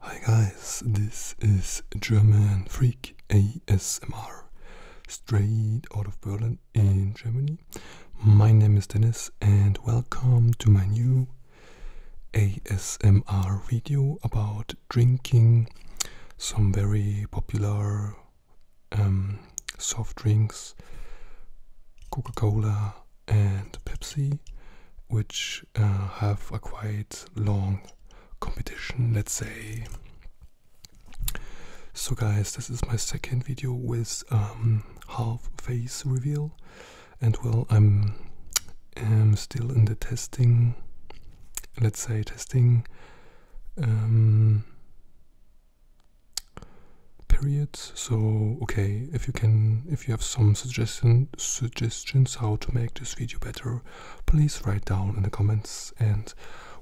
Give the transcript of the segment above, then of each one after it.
Hi guys, this is German Freak ASMR straight out of Berlin in Germany. My name is Dennis and welcome to my new ASMR video about drinking some very popular um, soft drinks, Coca Cola and Pepsi, which uh, have a quite long competition, let's say. So, guys, this is my second video with um, half face reveal and well I'm am um, still in the testing let's say testing um, period so okay if you can if you have some suggestion suggestions how to make this video better please write down in the comments and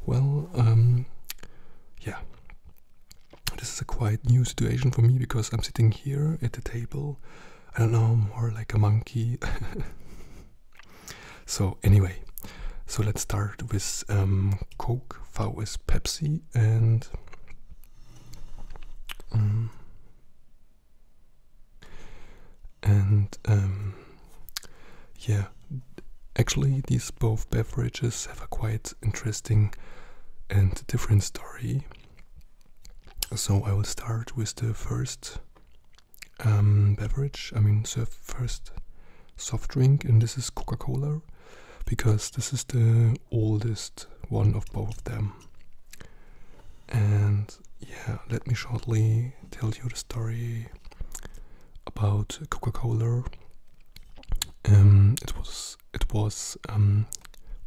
well um, yeah this is a quite new situation for me because I'm sitting here at the table. I don't know, more like a monkey. so, anyway, so let's start with um, Coke vs Pepsi and. Um, and um, yeah, actually, these both beverages have a quite interesting and different story. So I will start with the first um, beverage, I mean, the first soft drink, and this is Coca Cola because this is the oldest one of both them. And yeah, let me shortly tell you the story about Coca Cola. Um, it was it was um,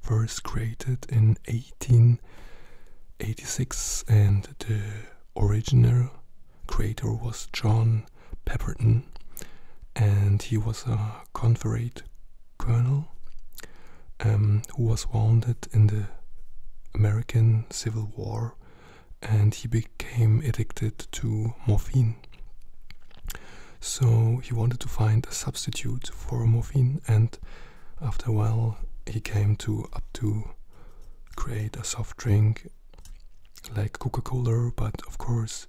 first created in 1886 and the original creator was John Pepperton and he was a Confederate colonel um, who was wounded in the American Civil War and he became addicted to morphine so he wanted to find a substitute for morphine, and after a while, he came to up to create a soft drink like Coca Cola, but of course,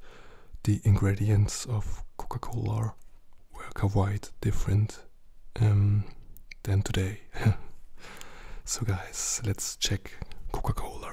the ingredients of Coca Cola were quite different um, than today. so, guys, let's check Coca Cola.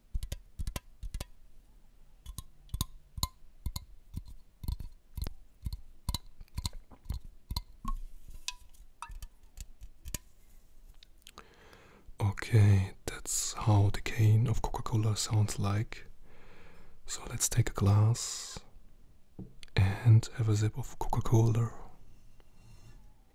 Okay, that's how the cane of Coca Cola sounds like. So let's take a glass and have a sip of Coca Cola.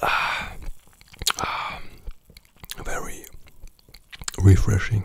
Ah, ah, very refreshing.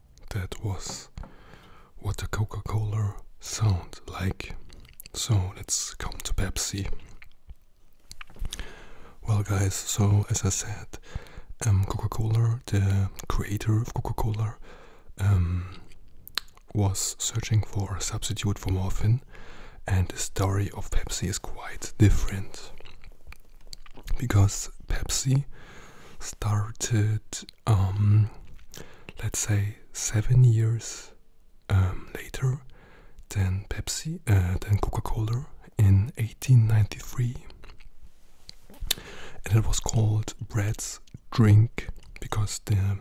that was what a Coca Cola sound like. So let's come to Pepsi. Well, guys, so as I said, um, Coca Cola, the creator of Coca Cola, um, was searching for a substitute for morphine, and the story of Pepsi is quite different because Pepsi started, um, let's say, seven years um, later than Pepsi, uh, than Coca-Cola in 1893, and it was called Bread's Drink because the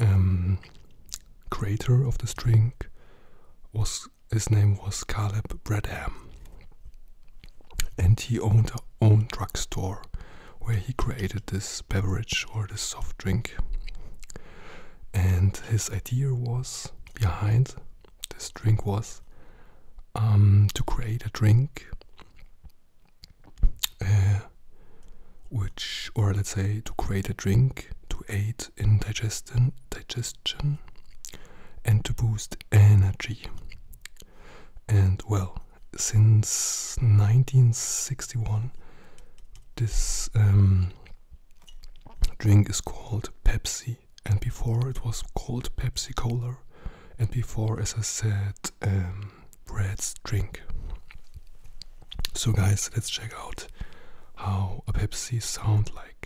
um, creator of this drink was his name was Caleb Bradham and he owned a own drugstore where he created this beverage or this soft drink. And his idea was behind this drink was um, to create a drink uh, which, or let's say, to create a drink to aid in digestion, digest and to boost energy. And well, since 1961, this um, drink is called Pepsi, and before it was called Pepsi Cola, and before, as I said, um, drink. So, guys, let's check out how a Pepsi sound like.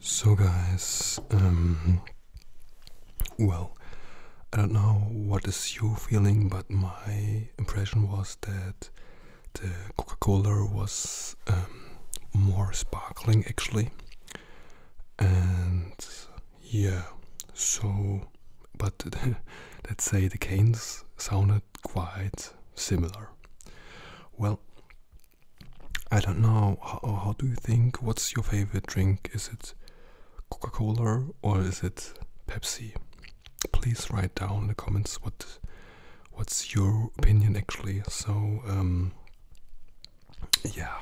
So, guys, um, well, I don't know what is your feeling, but my impression was that the Coca Cola was um, more sparkling actually, and yeah, so, but let's say the canes sounded quite similar. Well, I don't know, how, do you think? What's your favorite drink? Is it Coca Cola or is it Pepsi? Please write down in the comments what what's your opinion actually. So, um, yeah.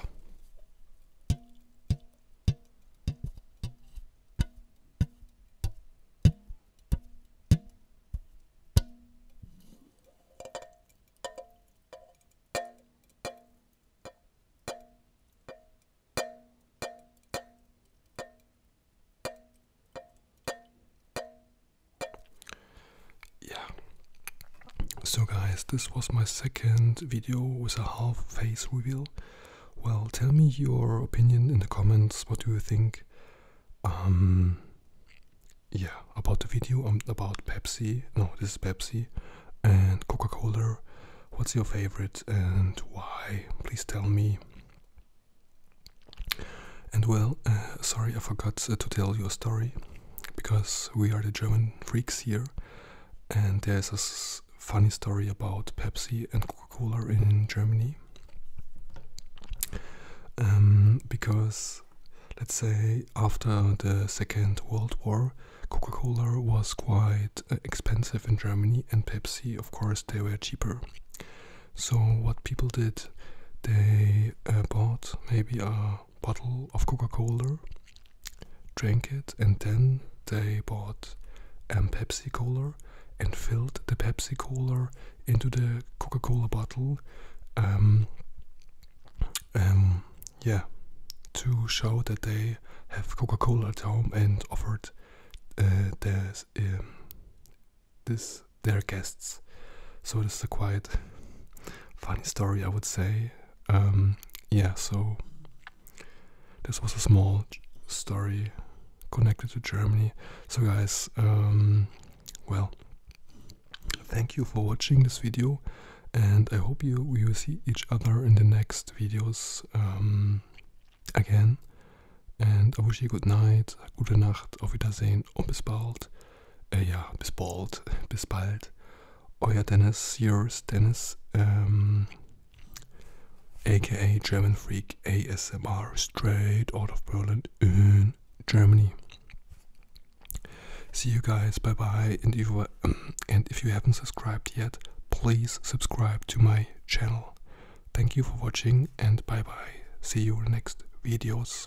Yeah. So guys, this was my second video with a half face reveal. Well, tell me your opinion in the comments. What do you think? Um, yeah, about the video um, about Pepsi. No, this is Pepsi and Coca Cola. What's your favorite and why? Please tell me. And well, uh, sorry, I forgot uh, to tell you a story because we are the German freaks here, and there's funny story about Pepsi and Coca-Cola in Germany. Um, because, let's say, after the Second World War, Coca-Cola was quite uh, expensive in Germany, and Pepsi, of course, they were cheaper. So what people did, they uh, bought maybe a bottle of Coca-Cola drank it, and then they bought a Pepsi Cola and filled the Pepsi Cola into the Coca Cola bottle. Um, um, yeah, to show that they have Coca Cola at home and offered uh, um, this their guests. So this is a quite funny story, I would say. Um, yeah, so this was a small story connected to Germany. So, guys, um, well, thank you for watching this video, and I hope you we will see each other in the next videos um, again. And I wish you good night, gute Nacht, auf Wiedersehen und bis bald. Äh, ja, bis bald, bis bald. Oh Euer Dennis, yours Dennis, aka um, German Freak ASMR, straight out of Poland, in Germany. See you guys, bye bye. And if, you, and if you haven't subscribed yet, please subscribe to my channel. Thank you for watching and bye bye. See you in next videos.